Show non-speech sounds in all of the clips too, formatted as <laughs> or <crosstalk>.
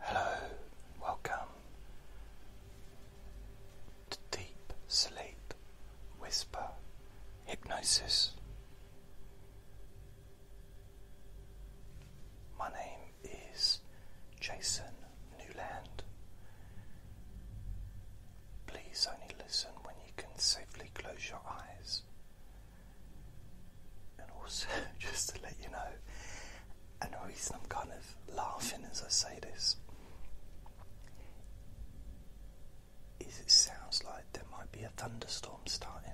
Hello, welcome to Deep Sleep Whisper Hypnosis. My name is Jason Newland. Please only listen when you can safely close your eyes and also, <laughs> just to let you know, and the reason I'm kind of laughing as I say this is it sounds like there might be a thunderstorm starting.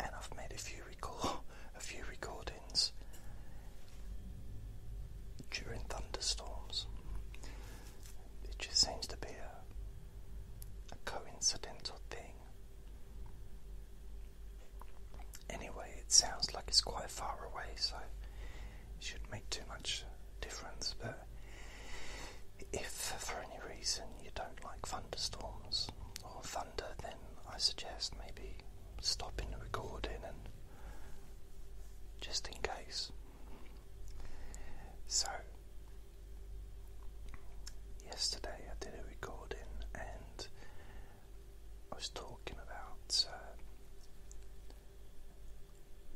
And I've made a few record <laughs> a few recordings during thunderstorms. It just seems to be a a coincidental thing Anyway, it sounds like it's quite far away, so it shouldn't make too much difference. But if for any reason you don't like thunderstorms or thunder, then I suggest maybe stopping the recording and just in case. So, Yesterday I did a recording and I was talking about uh,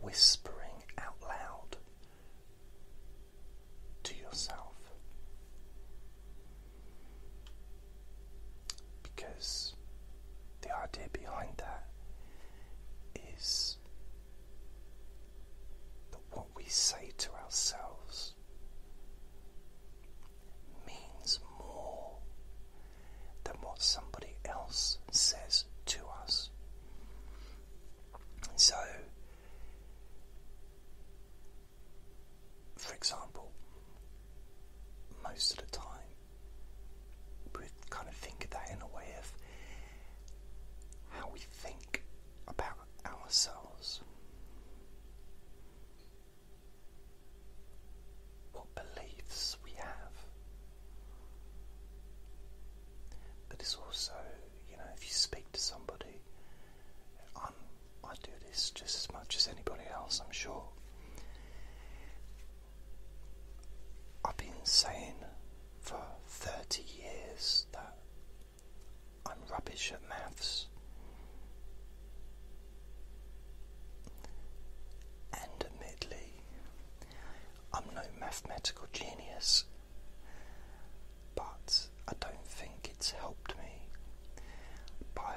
whispering out loud to yourself because the idea behind that is that we say to ourselves means more than what somebody else says to us. So, for example, most of the time we kind of think of that in a way of how we think about our, ourselves. What beliefs we have. But it's also, you know, if you speak to somebody, i I do this just as much as anybody else, I'm sure. I've been saying for 30 years that I'm rubbish at maths. And admittedly, I'm no mathematical genius, but I don't think it's helped me by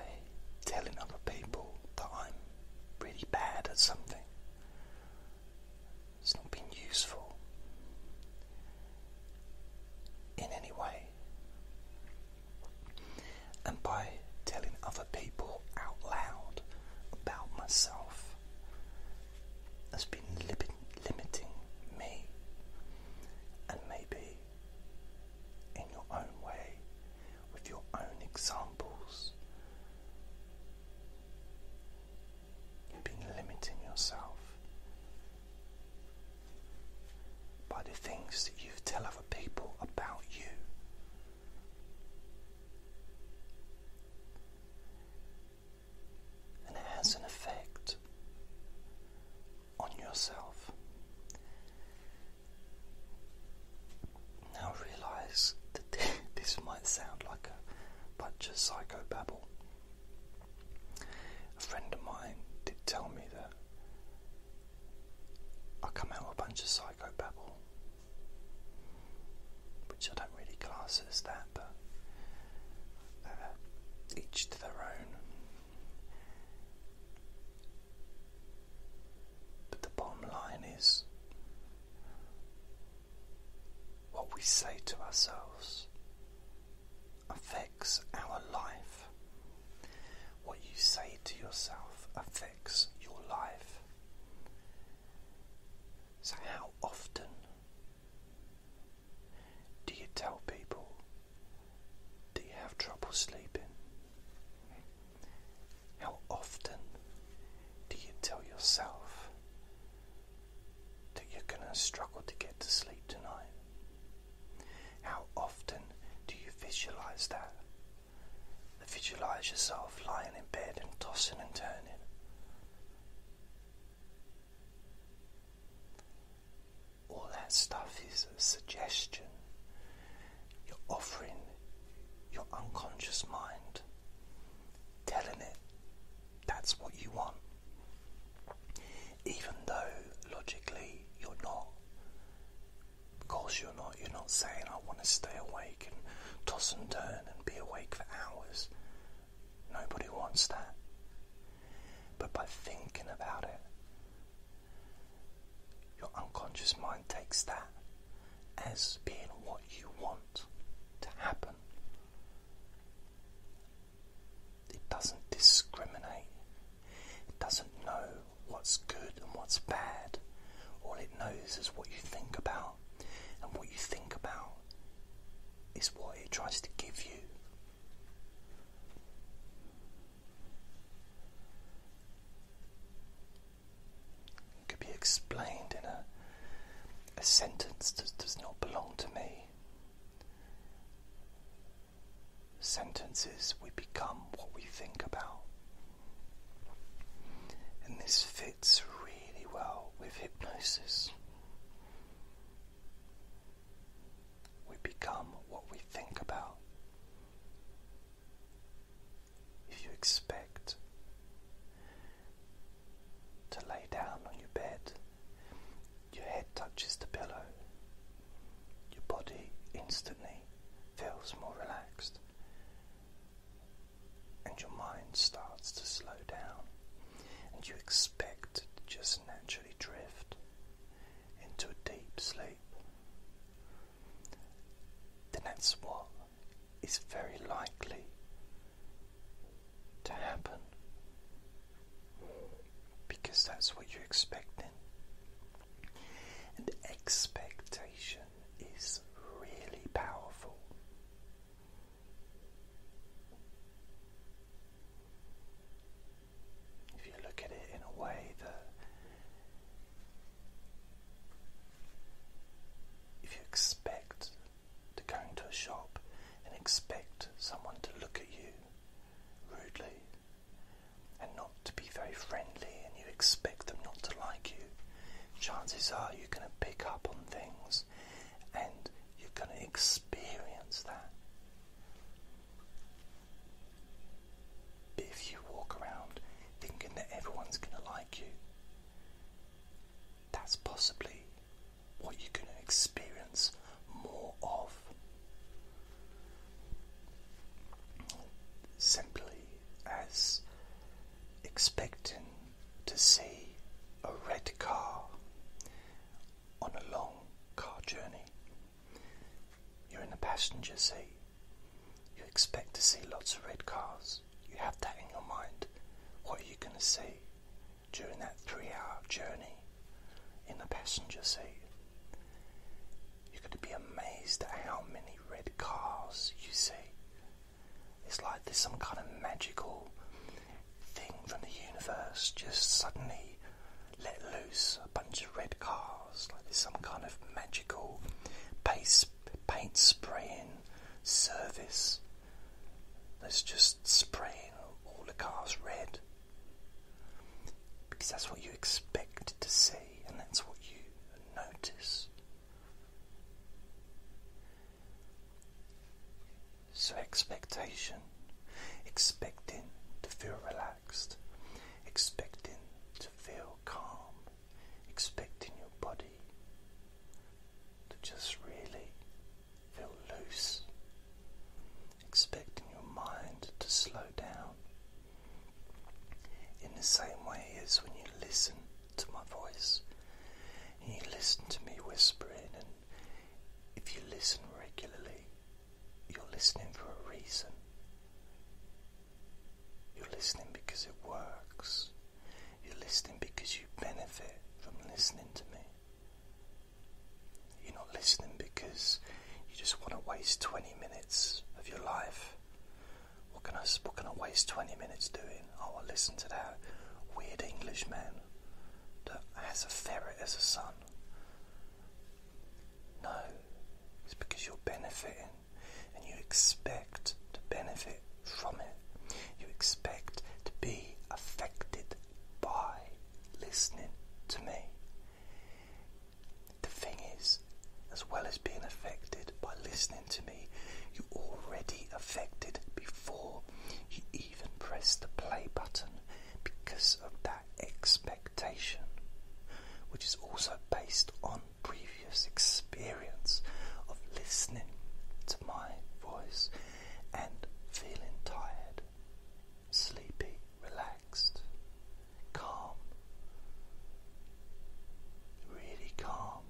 telling other people that I'm really bad at something. It's not been useful in any way. And by telling other people out loud about myself has been limiting me. And maybe in your own way, with your own examples, you've been limiting yourself by the things that you tell other people about you. And it has an effect on yourself. Now realize that <laughs> this might sound like a bunch of psycho babble. A friend of mine did tell me that I come out with a bunch of psycho psychobabble, which I don't really class as that, but uh, each to their own. But the bottom line is what we say to ourselves affects our life. What you say to yourself affects your life. So, how often do you tell people that you have trouble sleeping? How often do you tell yourself that you're going to struggle to get to sleep tonight? How often do you visualize that? Visualize yourself lying in bed and tossing and turning. All that stuff is a suggestion. You're offering your unconscious mind, telling it that's what you want even though logically you're not. Of course you're not. You're not saying I want to stay awake and toss and turn and be awake for hours. Nobody wants that. But by thinking about it, your unconscious mind takes that as being what you want to happen. It doesn't discriminate. It doesn't know what's good and what's bad. All it knows is what you think about. And what you think about is what it tries to give you. It could be explained in a, a sentence that does not belong to me sentences, we become what we think about. And this fits really well with hypnosis. We become what we think about. If you expect to lay down on your bed your head touches the pillow. Your body instantly feels more relaxed, and your mind starts to slow down, and you expect to just naturally drift into a deep sleep. The next one is very likely to happen because that's what you're expecting. And expectation is really powerful. If you look at it in a way that if you expect to go into a shop and expect someone to look at you rudely and not to be very friendly and you expect them not to like you, chances are you're going to pick up on things and you're going to experience that. But if you walk around thinking that everyone's going to like you, that's possibly what you're going to experience more of simply as expecting to see a red car on a long car journey. You're in the passenger seat. You expect to see lots of red cars. You have that in your mind. What are you going to see during that three hour journey? in the passenger seat. You're going to be amazed at how many red cars you see. It's like there's some kind of magical thing from the universe just suddenly let loose a bunch of red cars, like there's some kind of magical paste, paint spraying service that's just spraying all the cars red. Because that's what you expect to see and that's what you notice. So, expectation, expecting to feel relaxed, expecting to feel calm, expecting your body to just really feel loose expecting your mind to slow down. In the same way as when you listen to my voice, and you listen to me whispering, and if you listen regularly, you're listening for a reason. You're listening because it works. You're listening because you benefit from listening to me. You're not listening because you just want to waste 20 minutes of your life. What can I, what can I waste 20 minutes doing? I will listen to that weird Englishman that has a ferret as a son. No, it's because you're benefiting and you expect to benefit from it. You expect to be affected by listening to me. The thing is, as well as being affected by listening to me, you already affected before you even press the play button because of that expectation, which is also based on previous experience of listening to my voice and feeling tired sleepy, relaxed, calm, really calm.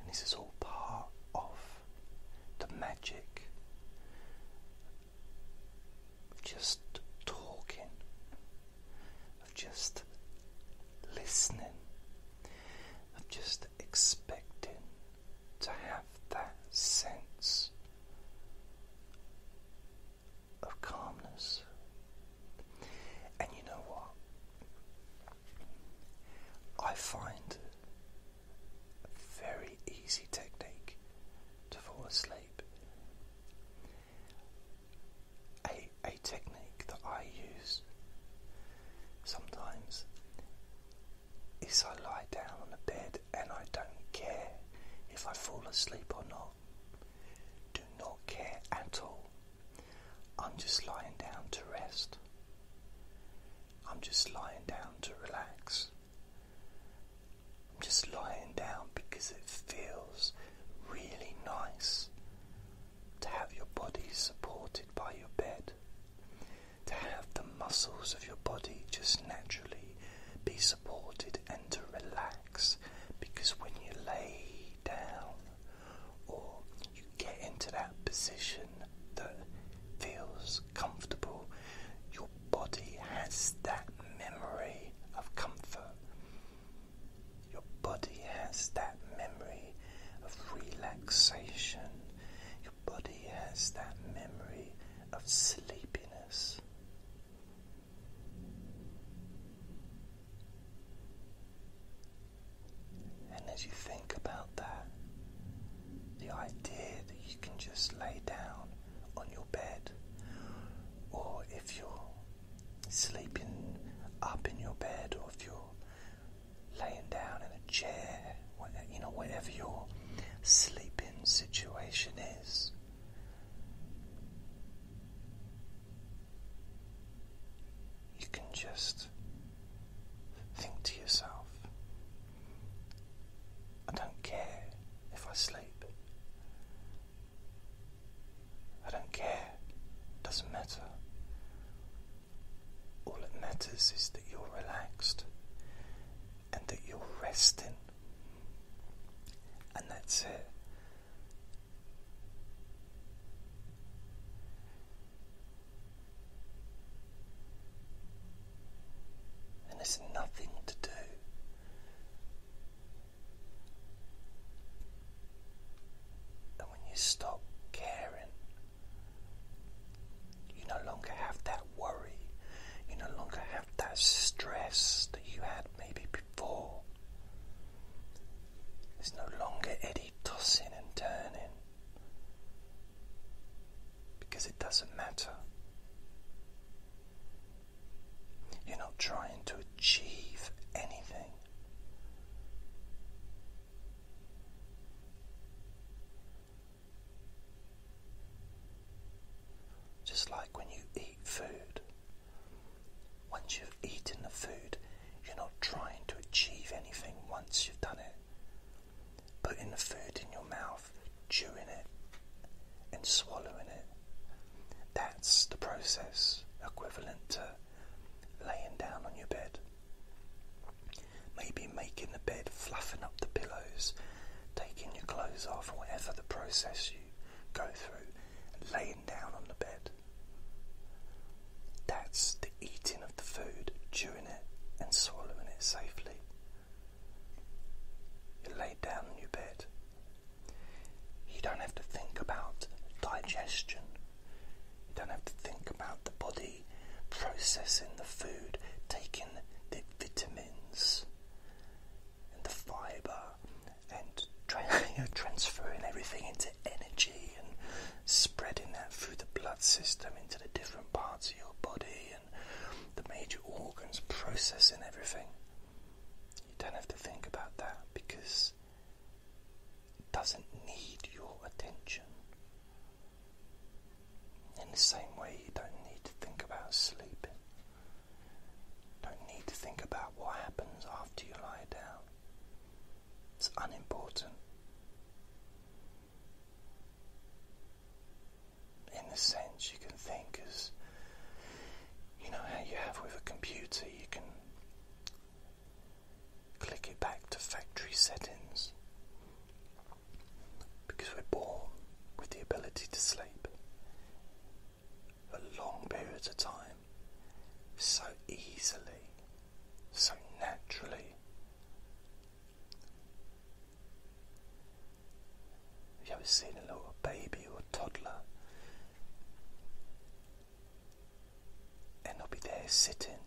And this is all part of the magic of just talking, of just listening, of just expecting to have that sense of calmness. And you know what? I find a very easy technique to fall asleep. A, a technique that I use sometimes is I lie down on the bed and I don't care if I fall asleep or not. Do not care at all. I'm just lying down to rest. I'm just lying down to relax. I'm just lying down because it feels really nice to have your body supported by your bed to have the muscles of your body just naturally be supported and to relax because when you lay down or you get into that position that feels comfortable, your body has that memory of comfort. Your body has that memory of relaxation body has that memory of sleepiness. And as you think about that, the idea that you can just lay down on your bed, or if you're sleeping up in your bed, or if you're laying down in a chair, you know, whatever your sleeping situation is. You can just think to yourself, I don't care if I sleep. I don't care, it doesn't matter. All that matters is that you're relaxed and that you're resting. And that's it. And there's nothing to do. And when you stop caring you no longer have that worry. You no longer have that stress that you had maybe before. There's no longer any tossing and turning because it doesn't matter. You're not trying to achieve anything. Just like when you eat food, once you've eaten the food, you're not trying to achieve anything once you've done it. Putting the food in your mouth, chewing it, and swallowing it. That's the process equivalent to laying down on your bed. Maybe making the bed, fluffing up the pillows, taking your clothes off, whatever the process you go through, laying down on the bed. That's the eating of the food, chewing it and swallowing it safely. You lay down on your bed. You don't have to think about digestion. You don't have to think about the body processing the food, taking the vitamins and the fiber and <laughs> transferring everything into energy and spreading that through the blood system into the different parts of your body and the major organs processing everything. You don't have to think about that because it doesn't need your attention. In the same way, you don't need to think about sleeping. Don't need to think about what happens after you lie down. It's unimportant. In the sense, you can think as you know how you have with a computer, you can click it back to factory settings because we're born with the ability to sleep for long periods of time so easily, so naturally. Have you ever seen a little baby or toddler? And they'll be there sitting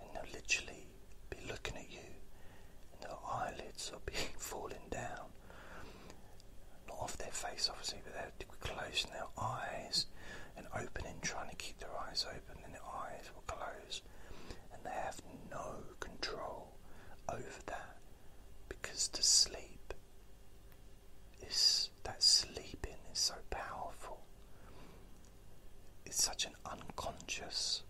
and they'll literally be looking at you, and their eyelids will be <laughs> falling down. Not off their face, obviously, but they're closing their eyes and opening, trying to keep their eyes open, and their eyes will close, and they have no control over that because to sleep is that sleeping is so powerful. It's such an unconscious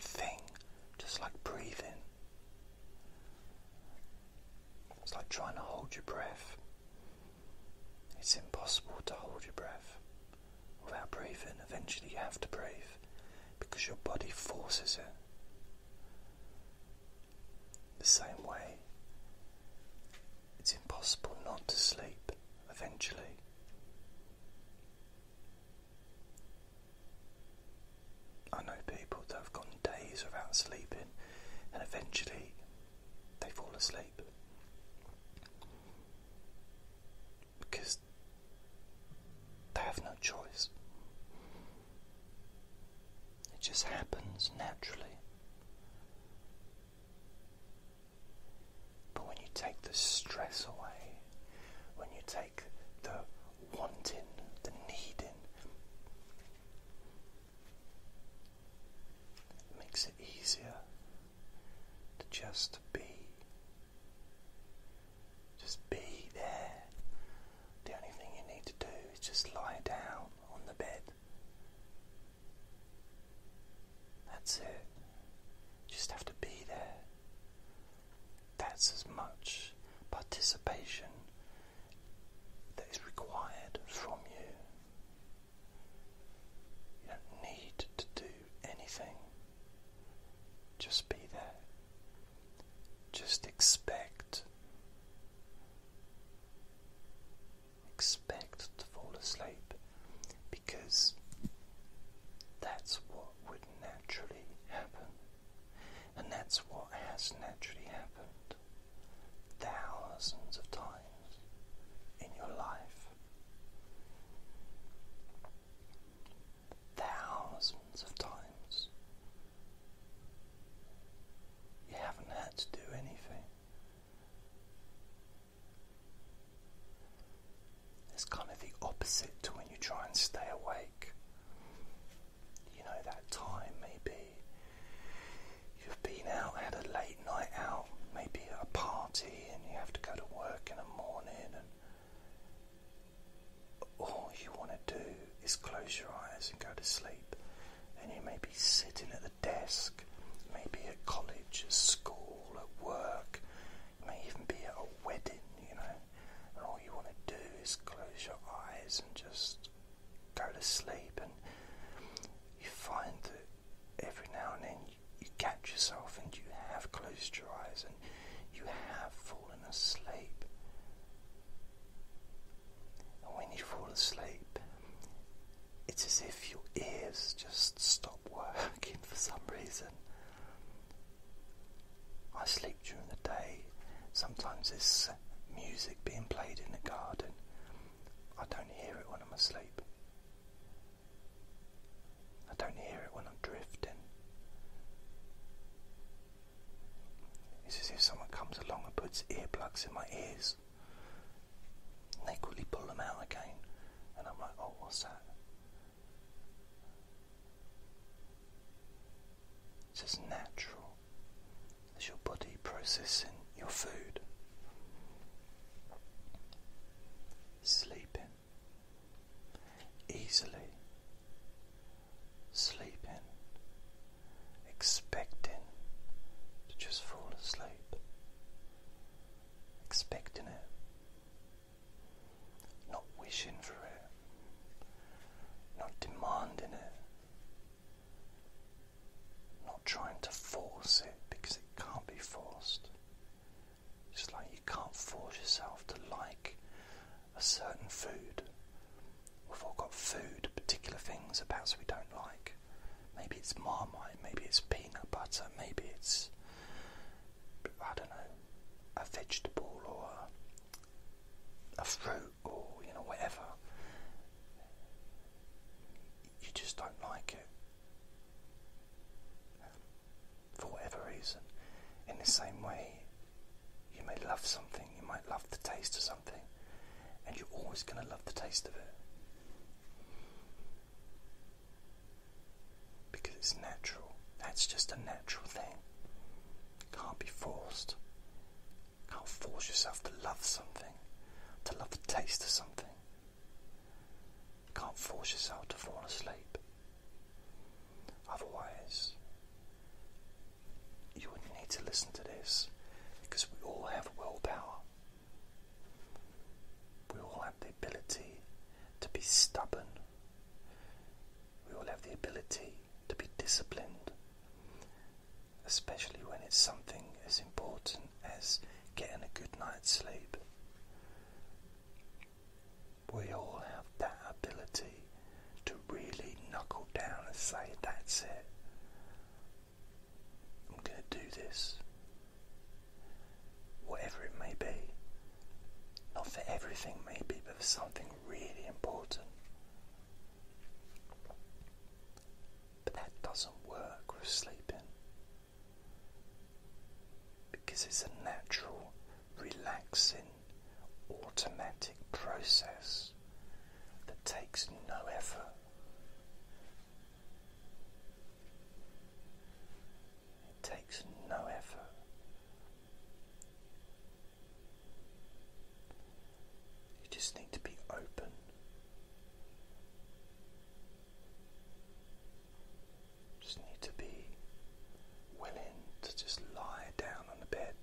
thing, just like breathing. It's like trying to hold your breath. It's impossible to hold your breath without breathing. Eventually, you have to breathe because your body forces it. The same way, it's impossible not to sleep eventually. I know people that have gone days without sleeping and eventually they fall asleep because they have no choice. It just happens naturally. But when you take the stress away, when you take the wanting, the needing, it makes it easier to just be. Just be there. The only thing you need to do is just lie down on the bed. That's it. just have to be there. That's as much participation that is required from you. You don't need to do anything, just be there, just expect. Expect to fall asleep because that's what would naturally happen. And that's what has naturally happened thousands of times in your life. Thousands of times. You haven't had to do anything. It's kind of the opposite to when you try and stay awake. You know, that time maybe you've been out, had a late night out, maybe at a party, and you have to go to work in the morning, and all you want to do is close your eyes and go to sleep. And you may be sitting at the desk, maybe at college, at school, at work, you may even be at a wedding, you know and all you want to do is close your eyes and just go to sleep, and you find that every now and then you, catch yourself and you have closed your eyes and you have fallen asleep. And when you fall asleep, it's as if your ears just stop working <laughs> for some reason. I sleep during the day. Sometimes there's music being played in the garden. I don't hear it when I'm asleep. I don't hear it when I'm drifting. It's as if someone comes along and puts earplugs in my ears. And they quickly pull them out again, and I'm like, oh, what's that? It's as natural as your body processing your food. Sleeping easily, sleeping, expecting to just fall asleep, expecting it. Not wishing for it, not demanding it, not trying to force it because it can't be forced. Just like you can't force yourself to like a certain food. We've all got food, particular things perhaps we don't like. Maybe it's marmite, maybe it's peanut butter, maybe it's I don't know, a vegetable or a, fruit or, you know, whatever, you just don't like it. For whatever reason. In the same way, you may love something, you might love the taste of something, and you're always going to love the taste of it because it's natural. That's just a natural thing. Can't be forced. Can't force yourself to love something, to love the taste of something. Can't force yourself to fall asleep. Otherwise, you would not need to listen to this because we all have willpower. We all have the ability to be stubborn, we all have the ability to be disciplined, especially when it's something as important as getting a good night's sleep. We all have that ability to really knuckle down and say, That's it. I'm going to do this. Whatever it may be. Not for everything, maybe, but for something really important. But that doesn't work with sleeping because it's a natural, relaxing, automatic process that takes no effort. It takes no effort. You just need to be open. Just need to be willing to just lie down on the bed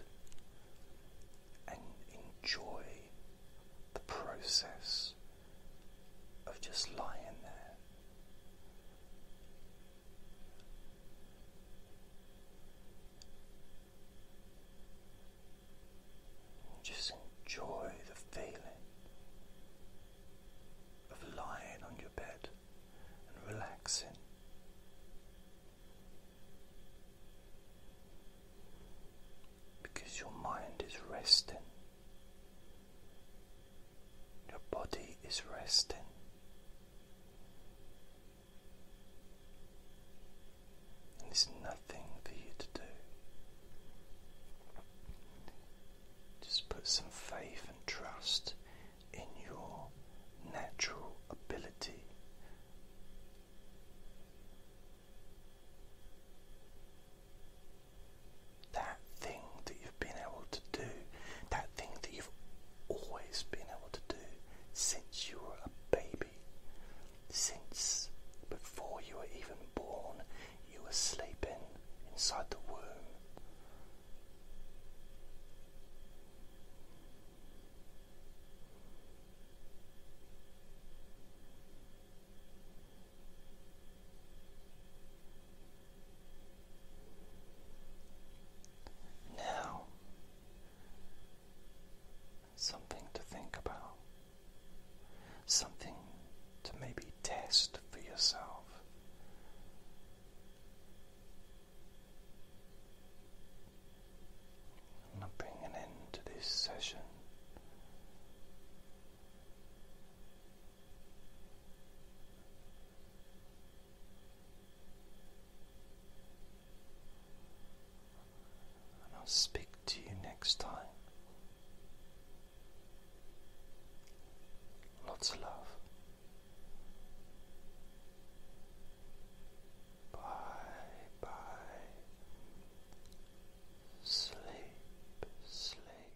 and enjoy the process of just lying there. Just enjoy the feeling of lying on your bed and relaxing. Because your mind is resting, your body is resting, and there's nothing for you to do. Just put some faith and trust in your natural ability. That thing that you you able to do, that thing that you've always been able to do since you were a baby, since before you were even born, you were sleeping inside the womb. Now, something to think about, something to maybe test for yourself. I'm bringing an to this session. And I'll speak to you next time. Lots of love. Bye bye. Sleep, sleep.